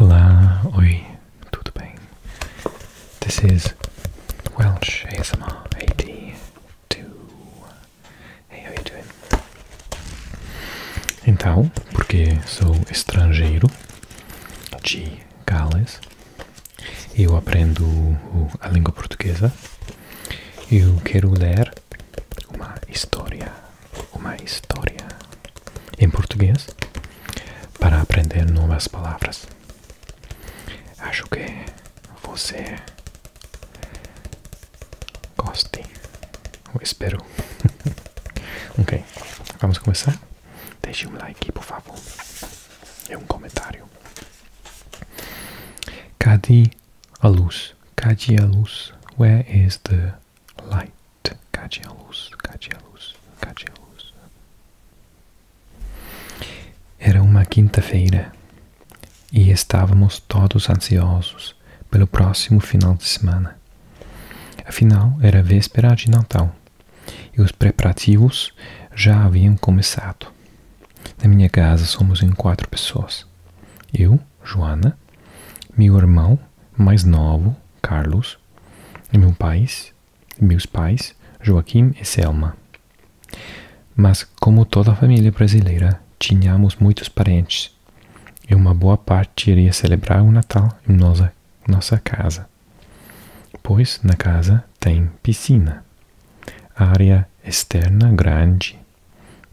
Olá, oi, tudo bem? This is Welsh ASMR 82. Hey, how you doing? Então, porque sou estrangeiro de Gales, eu aprendo a língua portuguesa, eu quero ler uma história, uma história em português para aprender novas palavras. Acho que você goste. Eu espero. ok, vamos começar? Deixe um like, por favor. E um comentário. Cadê a luz? Cadê a luz? Where is the light, cade a luz, cade a luz, cade a luz. Era uma quinta-feira e estávamos todos ansiosos pelo próximo final de semana. Afinal, era véspera de Natal e os preparativos já haviam começado. Na minha casa somos em quatro pessoas: eu, Joana, meu irmão mais novo, Carlos, e meu pais, meus pais, Joaquim e Selma. Mas, como toda a família brasileira, tínhamos muitos parentes e uma boa parte iria celebrar o Natal em nossa, nossa casa, pois na casa tem piscina, área externa grande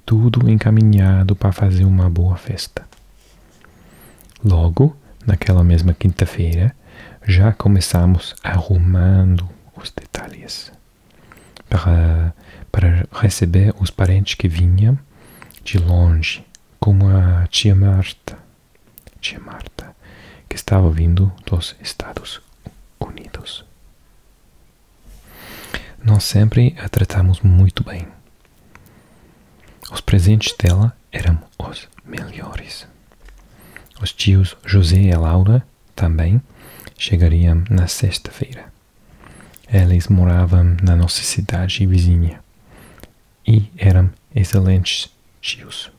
tudo encaminhado para fazer uma boa festa. Logo, naquela mesma quinta-feira, já começamos arrumando os detalhes para, para receber os parentes que vinham de longe, como a tia Marta, tia Marta, que estava vindo dos Estados Unidos. Nós sempre a tratamos muito bem. Os presentes dela eram os melhores. Os tios José e Laura também chegariam na sexta-feira. Eles moravam na nossa cidade vizinha e eram excelentes tios,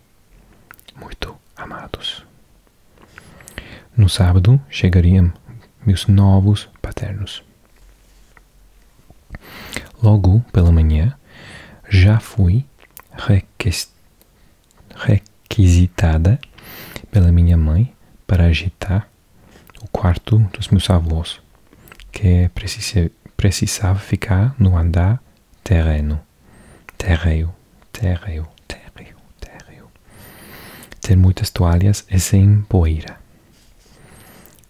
muito amados. No sábado chegariam meus novos paternos. Logo pela manhã, já fui requisitada pela minha mãe para agitar o quarto dos meus avós, que precisava ficar no andar terreno, terreiro, terreiro térreo, térreo. Ter muitas toalhas é sem poeira.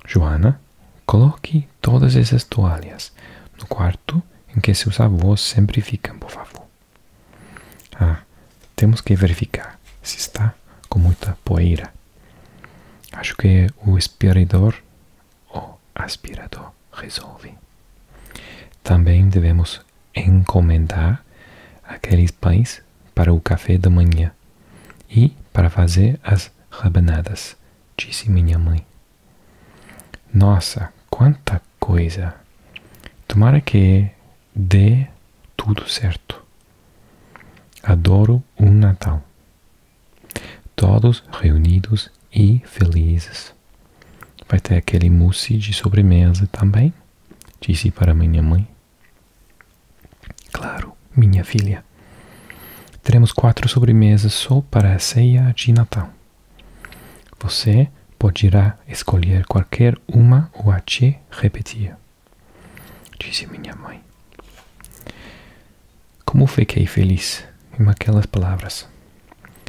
Joana, coloque todas essas toalhas no quarto em que seus avós sempre ficam, por favor. Ah, temos que verificar se está com muita poeira. Acho que o aspirador ou aspirador resolve. Também devemos encomendar aqueles pães para o café da manhã e para fazer as rabanadas, disse minha mãe. Nossa, quanta coisa! Tomara que dê tudo certo. Adoro um Natal. Todos reunidos e felizes. Vai ter aquele mousse de sobremesa também. Disse para minha mãe. Claro, minha filha. Teremos quatro sobremesas só para a ceia de Natal. Você poderá escolher qualquer uma ou a te repetir. Disse minha mãe. Como fiquei feliz em aquelas palavras.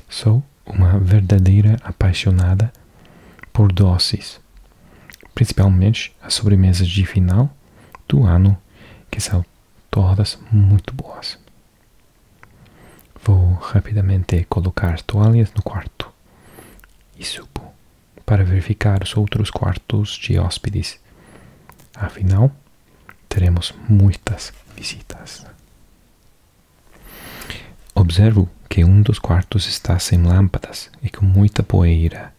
Só uma verdadeira apaixonada por doces, principalmente as sobremesas de final do ano, que são todas muito boas. Vou rapidamente colocar toalhas no quarto e subo para verificar os outros quartos de hóspedes. Afinal, teremos muitas visitas. Observo que um dos quartos está sem lâmpadas e com muita poeira.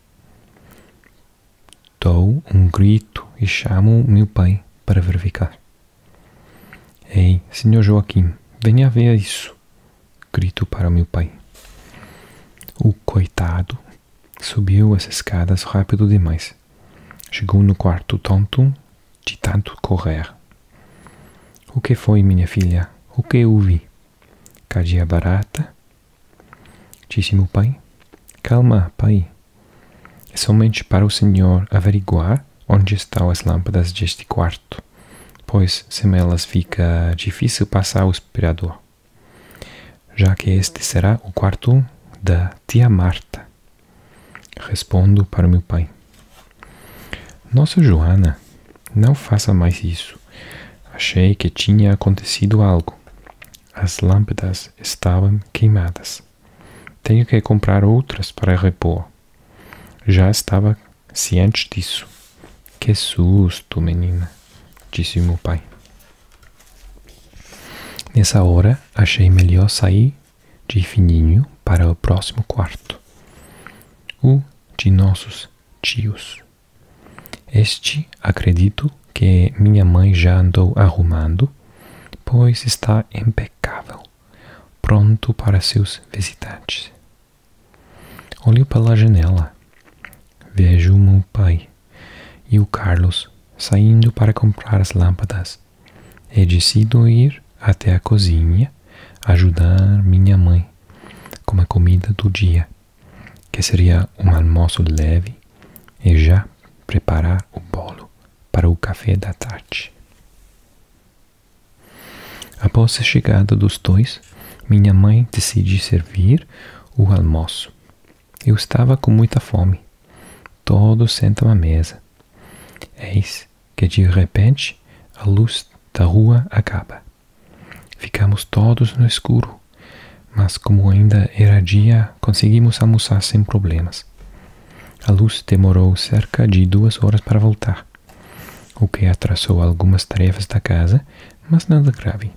Dou um grito e chamo meu pai para verificar. Ei, senhor Joaquim, venha ver isso! Grito para meu pai. O coitado subiu as escadas rápido demais. Chegou no quarto tonto de tanto correr. O que foi, minha filha? O que houve? Cadia barata? Disse meu pai. Calma, pai. É somente para o senhor averiguar onde estão as lâmpadas deste quarto, pois sem elas fica difícil passar o aspirador, já que este será o quarto da tia Marta. Respondo para meu pai. Nossa Joana, não faça mais isso. Achei que tinha acontecido algo. As lâmpadas estavam queimadas. Tenho que comprar outras para repor. Já estava ciente disso. Que susto, menina, disse meu pai. Nessa hora, achei melhor sair de fininho para o próximo quarto, o de nossos tios. Este acredito que minha mãe já andou arrumando, pois está impecável, pronto para seus visitantes. Olho pela janela. Vejo meu pai e o Carlos saindo para comprar as lâmpadas é decido ir até a cozinha ajudar minha mãe com a comida do dia, que seria um almoço leve, e já preparar o bolo para o café da tarde. Após a chegada dos dois, minha mãe decide servir o almoço. Eu estava com muita fome. Todos sentam à mesa. Eis que de repente a luz da rua acaba. Ficamos todos no escuro, mas como ainda era dia, conseguimos almoçar sem problemas. A luz demorou cerca de duas horas para voltar, o que atrasou algumas tarefas da casa, mas nada grave.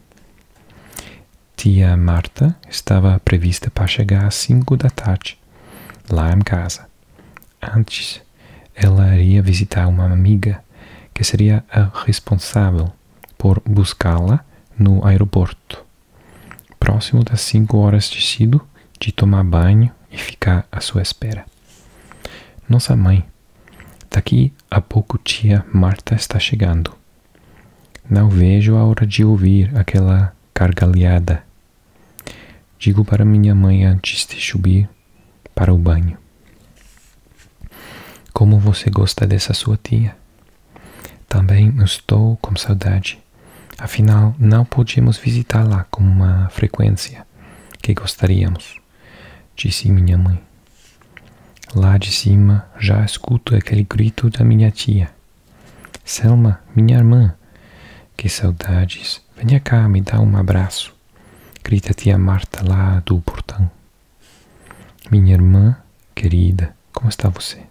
Tia Marta estava prevista para chegar às cinco da tarde, lá em casa. Antes, ela iria visitar uma amiga que seria a responsável por buscá-la no aeroporto. Próximo das cinco horas decido de tomar banho e ficar à sua espera. Nossa mãe, daqui a pouco tia Marta está chegando. Não vejo a hora de ouvir aquela gargalhada Digo para minha mãe antes de subir para o banho. Como você gosta dessa sua tia? Também estou com saudade. Afinal, não podíamos visitá-la com uma frequência que gostaríamos, disse minha mãe. Lá de cima já escuto aquele grito da minha tia. Selma, minha irmã, que saudades. Venha cá, me dá um abraço. Grita tia Marta lá do portão. Minha irmã querida, como está você?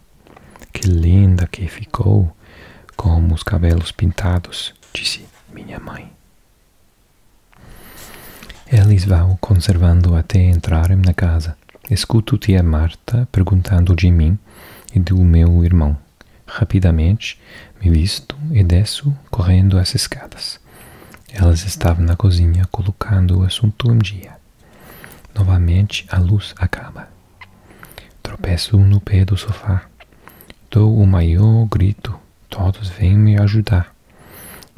Que linda que ficou com os cabelos pintados, disse minha mãe. Eles vão conservando até entrarem na casa. Escuto tia Marta perguntando de mim e do meu irmão. Rapidamente me visto e desço correndo as escadas. Elas estavam na cozinha colocando o assunto um dia. Novamente a luz acaba. Tropeço no pé do sofá. Dou o maior grito. Todos vêm me ajudar.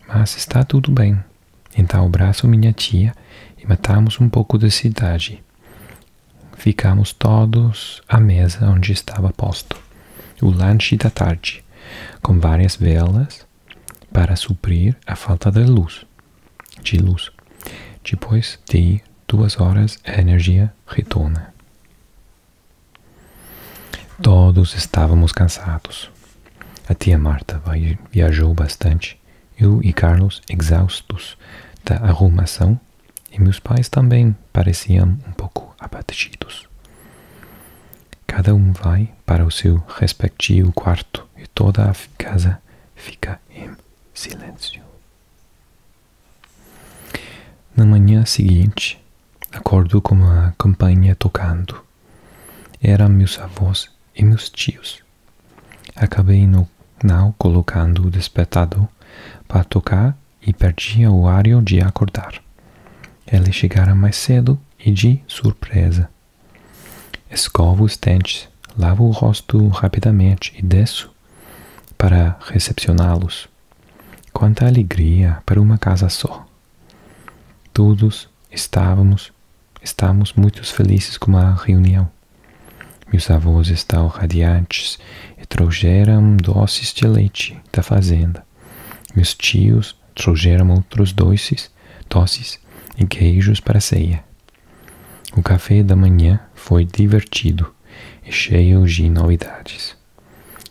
Mas está tudo bem. Então abraço minha tia e matamos um pouco da cidade. Ficamos todos à mesa onde estava posto o lanche da tarde, com várias velas para suprir a falta de luz. De luz. Depois de duas horas, a energia retorna. Todos estávamos cansados. A tia Marta viajou bastante eu e Carlos exaustos da arrumação, e meus pais também pareciam um pouco abatidos. Cada um vai para o seu respectivo quarto e toda a casa fica em silêncio. Na manhã seguinte, acordo com a campanha tocando. Eram meus avós e meus tios. Acabei no final colocando o despertador para tocar e perdi o horário de acordar. Eles chegara mais cedo e de surpresa. Escovo os dentes, lavo o rosto rapidamente e desço para recepcioná-los. Quanta alegria para uma casa só! Todos Estávamos, estávamos muito felizes com a reunião. Meus avós estavam radiantes e trouxeram doces de leite da fazenda. Meus tios trouxeram outros doces, doces e queijos para a ceia. O café da manhã foi divertido e cheio de novidades.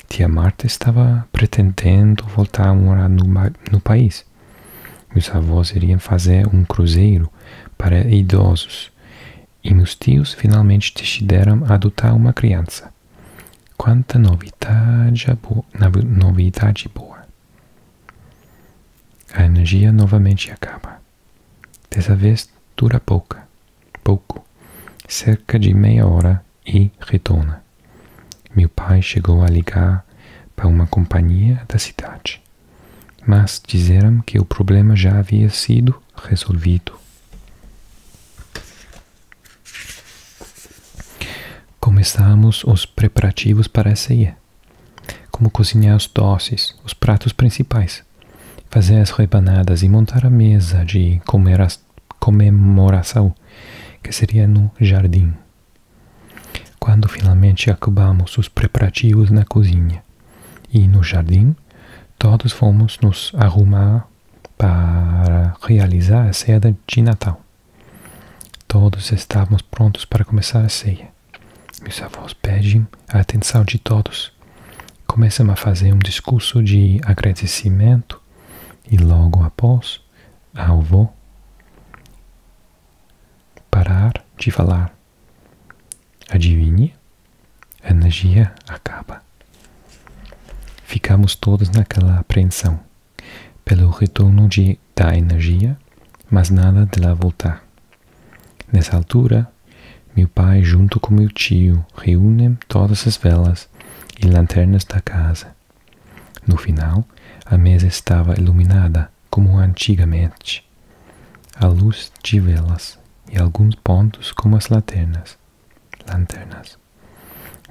Tia Marta estava pretendendo voltar a morar no país. Meus avós iriam fazer um cruzeiro para idosos e meus tios finalmente decidiram adotar uma criança. Quanta novidade, boa! A energia novamente acaba. Dessa vez dura pouca, pouco, cerca de meia hora e retorna. Meu pai chegou a ligar para uma companhia da cidade. Mas disseram que o problema já havia sido resolvido. Começamos os preparativos para a ceia, como cozinhar os doces, os pratos principais, fazer as rebanadas e montar a mesa de comemoração, que seria no jardim. Quando finalmente acabamos os preparativos na cozinha e no jardim, todos fomos nos arrumar para realizar a ceia de Natal. Todos estávamos prontos para começar a ceia. Meus avós pedem a atenção de todos. Começam a fazer um discurso de agradecimento e logo após, a avô parar de falar. Adivinhe? A energia acaba. Ficamos todos naquela apreensão pelo retorno de, da energia, mas nada dela voltar. Nessa altura, meu pai, junto com meu tio, reúnem todas as velas e lanternas da casa no final, a mesa estava iluminada como antigamente, à luz de velas e alguns pontos como as lanternas. lanternas.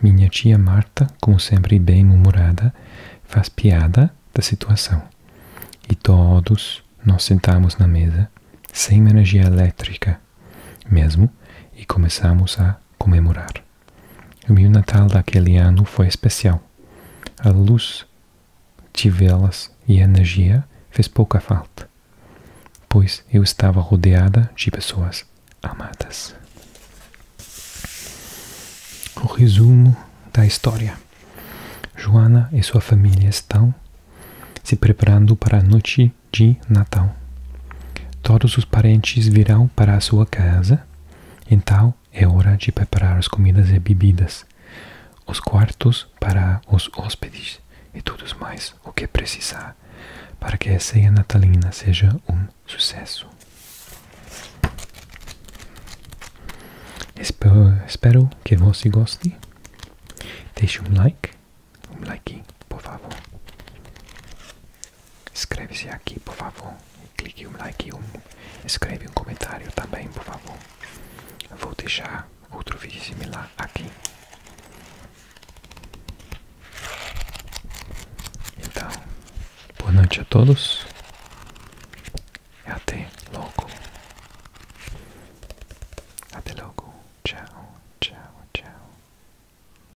Minha tia Marta, como sempre bem-humorada, faz piada da situação. E todos nós sentamos na mesa, sem energia elétrica mesmo, e começamos a comemorar. O meu Natal daquele ano foi especial. A luz, tivelas e energia fez pouca falta, pois eu estava rodeada de pessoas amadas. O resumo da história. Joana e sua família estão se preparando para a noite de Natal. Todos os parentes virão para a sua casa então é hora de preparar as comidas e bebidas, os quartos para os hóspedes e tudo mais o que precisar para que a ceia natalina seja um sucesso. Espero, espero que você goste. Deixe um like, um like, por favor inscreva se aqui, por favor. Clique um like e um. Escreve um comentário também, por favor. Vou deixar outro vídeo similar aqui. Então, boa noite a todos. até logo. Até logo. Tchau, tchau, tchau.